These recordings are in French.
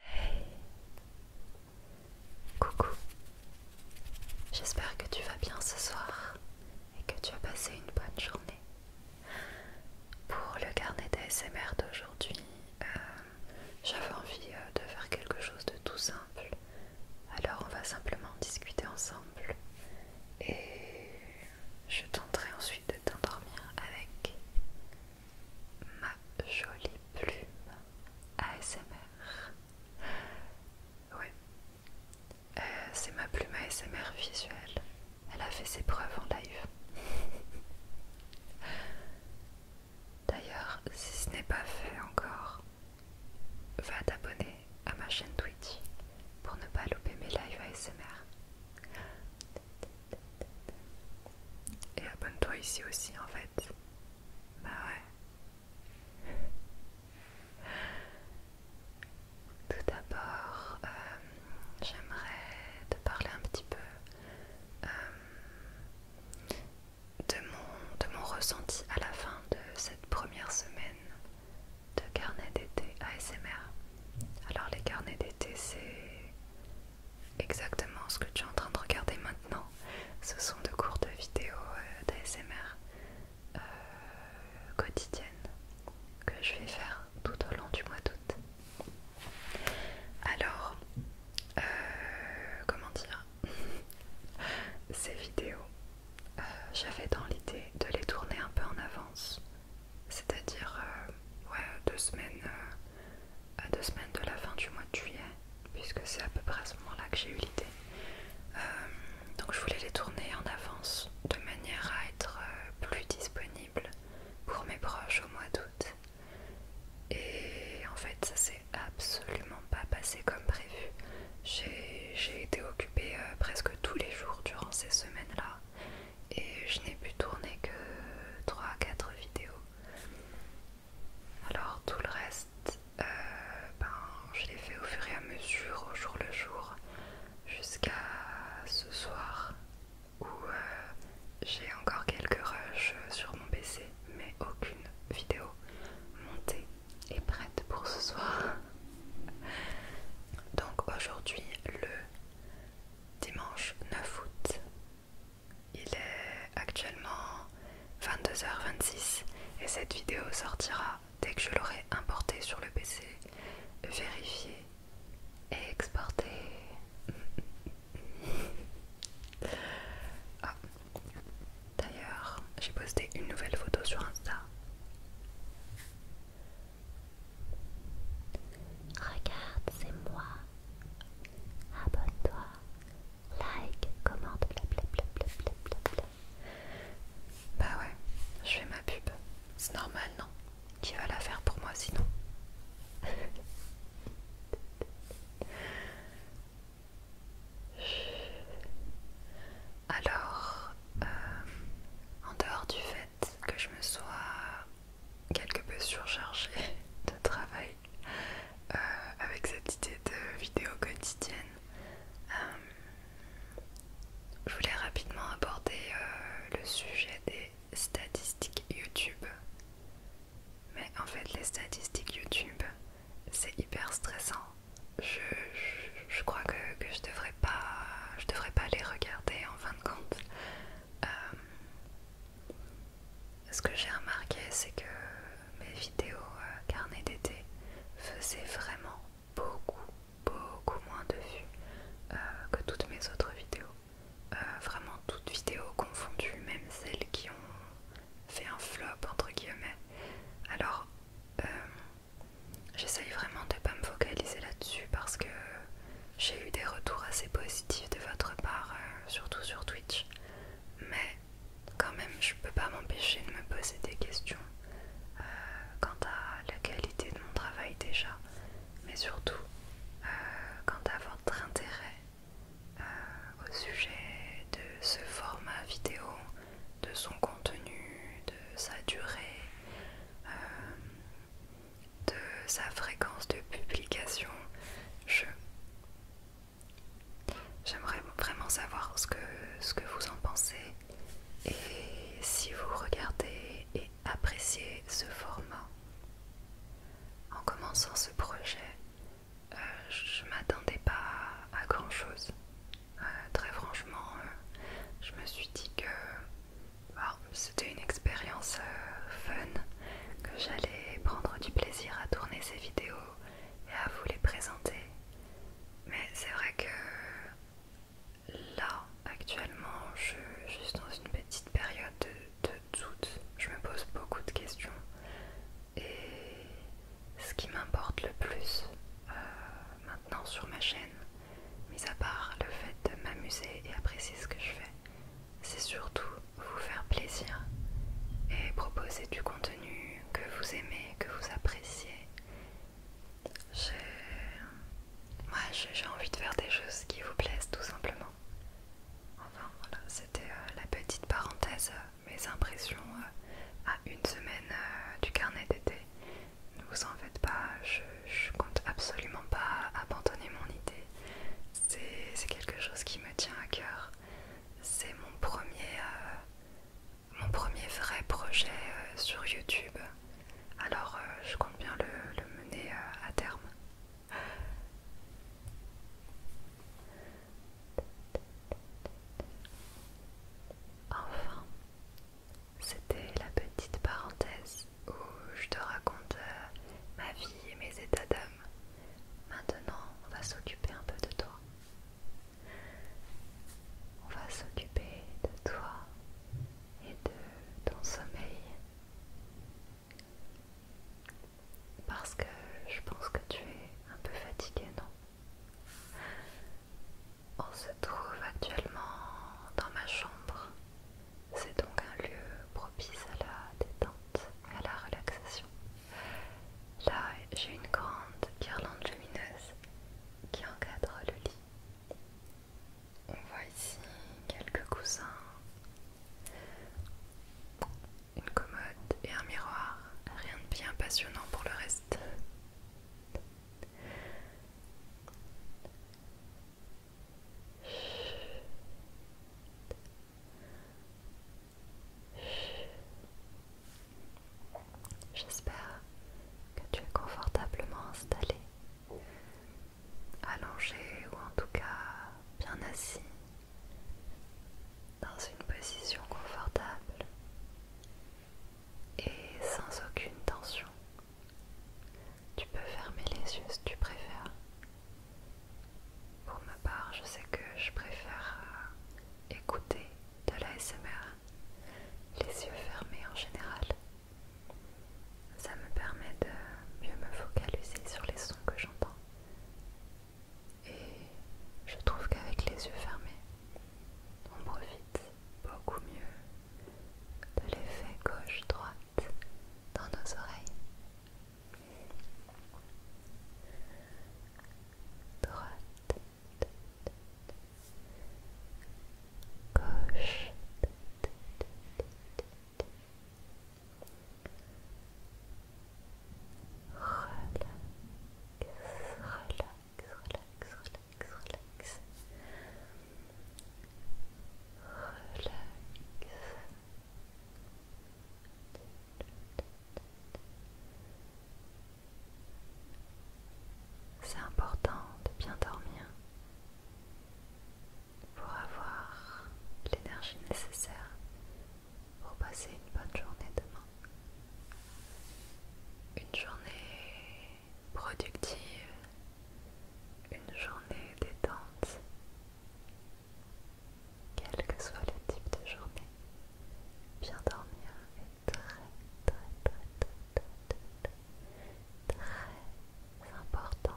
Hey Coucou J'espère que tu vas bien ce soir et que tu as passé une bonne journée. Pour le carnet d'ASMR d'aujourd'hui, euh, j'avais envie euh, de faire quelque chose de tout simple. Alors on va simplement discuter ensemble et je tenterai ensuite de t'endormir avec ma jolie plume ASMR. Ouais, euh, c'est ma plume ASMR visuelle. Elle a fait ses preuves en live. D'ailleurs, si ce n'est pas fait encore, va t'abonner à ma chaîne Twitch pour ne pas louper mes lives ASMR. Et abonne-toi ici aussi en fait. Bah ouais. Tout d'abord, euh, j'aimerais te parler un petit peu euh, de, mon, de mon ressenti à la fin de cette première semaine de carnet d'été ASMR. Alors les carnets d'été, c'est exactement ce que tu es en train de regarder maintenant. Ce sont de courtes vidéos euh, d'ASMR euh, quotidiennes que je vais faire tout au long du mois d'août. Alors, euh, comment dire Ces vidéos euh, j'avais dans l'idée de les tourner un peu en avance, c'est-à-dire euh, deux, semaines, euh, deux semaines de la fin du mois de juillet, puisque c'est à peu près à ce moment-là que j'ai eu l'idée. donc je voulais les tourner en avance de manière à être plus disponible pour mes proches au mois d'août. Et en fait ça s'est absolument pas passé comme prévu. J'ai été occupée euh, presque tous les jours durant ces semaines-là et je n'ai pu tourner que 3 à 4 vidéos. Alors tout le reste, euh, ben, je l'ai fait au fur et à mesure, au jour le jour, jusqu'à ce soir où euh, j'ai encore quelques rushs sur mon PC, mais aucune vidéo montée et prête pour ce soir. Donc aujourd'hui, le dimanche 9 août, il est actuellement 22h26 et cette vidéo sortira dès que je l'aurai importée sur le PC, vérifiée et exportée. Ah. D'ailleurs, j'ai posté une nouvelle photo sur Insta Regarde, c'est moi. Abonne-toi. Like, commente, blablablablablablabla. Bah ouais, je fais ma pub. C'est normal, non Qui va la faire pour moi sinon Alors, euh, en dehors du fait que je me sois quelque peu surchargée de travail euh, avec cette idée de vidéo quotidienne, euh, je voulais rapidement aborder le sujet des statistiques YouTube. Mais en fait, les statistiques YouTube, c'est hyper stressant je, crois que, je devrais pas je devrais pas les regarder en fin de compte. Euh, ce que j'ai remarqué, c'est que mes vidéos euh, carnet d'été faisaient vraiment beaucoup, beaucoup moins de vues euh, que toutes mes autres vidéos. vraiment toutes vidéos confondues, même celles qui ont fait un flop entre guillemets. Alors, J'essaye vraiment de ne pas me focaliser là-dessus parce que j'ai eu des retours assez positifs de votre part, euh, surtout sur Twitch. Mais quand même, je peux pas m'empêcher de me poser des questions euh, quant à la qualité de mon travail déjà, mais surtout euh, quant à votre intérêt au sujet de ce format vidéo de son contenu, de sa durée, euh, de sa fréquence de publication. Je J'aimerais vraiment savoir ce que, vous en pensez et si vous regardez et appréciez ce format. En commençant ce projet, euh, je ne m'attendais pas à grand chose. Euh, très franchement, euh, je me suis dit que bah, c'était une expérience euh, fun, que j'allais prendre du plaisir à tourner ces vidéos et à vous les présenter. Mais c'est vrai que là, actuellement, je, suis dans une petite période de, doute. Je me pose beaucoup de questions ce qui m'importe le plus euh, maintenant sur ma chaîne, mis à part le fait de m'amuser et apprécier ce que je fais, c'est surtout vous faire plaisir et proposer du contenu que vous aimez, que vous appréciez. J'ai envie de faire des choses qui vous plaisent tout simplement. Enfin voilà, c'était euh, la petite parenthèse euh, mes impressions euh, à une semaine euh, du carnet d'été. Ne vous en faites pas, je, compte absolument pas abandonner mon idée. C'est quelque chose qui me tient à cœur. C'est mon premier euh, mon premier vrai projet sur YouTube. Alors je compte bien le, mener à terme. Enfin, c'était la petite parenthèse où je te raconte euh, ma vie et mes états d'âme. Maintenant, on va s'occuper un peu de toi. On va s'occuper de toi et de ton sommeil. Parce que je pense que tu es un peu fatigué, non on se trouve actuellement dans ma chambre. C'est donc un lieu propice à la détente, à la relaxation. Là, j'ai une grande guirlande lumineuse qui encadre le lit. On voit ici quelques coussins une commode et un miroir, rien de bien passionnant pour le reste. J'espère que tu es confortablement installé, allongé ou en tout cas bien assis dans une position confortable et sans aucune tension. Tu peux fermer les yeux si tu préfères. Pour ma part, je sais que je préfère euh, écouter de l'ASMR les yeux fermés en général. Ça me permet de mieux me focaliser sur les sons que j'entends et je trouve qu'avec les yeux fermés, on profite beaucoup mieux de l'effet gauche-droite dans nos oreilles. Droite, gauche, relax, relax, relax, relax. Relax. C'est important de bien dormir pour avoir l'énergie nécessaire pour passer une bonne journée demain. Une journée productive, une journée détente, quel que soit le type de journée. Bien dormir est très très très très, très important.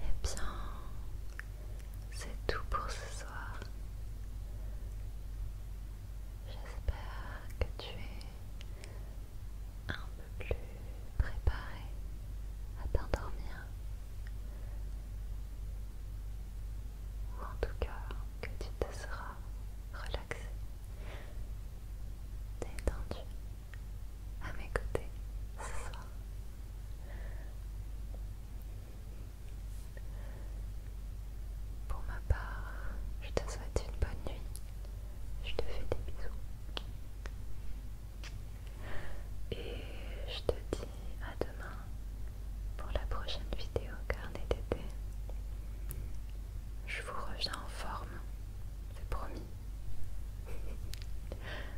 Eh bien, c'est tout pour ce soir. J'espère que tu es un peu plus préparé à t'endormir. Ou en tout cas, que tu te seras relaxé, détendu à mes côtés ce soir. Pour ma part, je te souhaite une bonne nuit. Je te fais des bisous. Et je te dis à demain pour la prochaine vidéo carnet d'été. Je vous reviens en forme, c'est promis.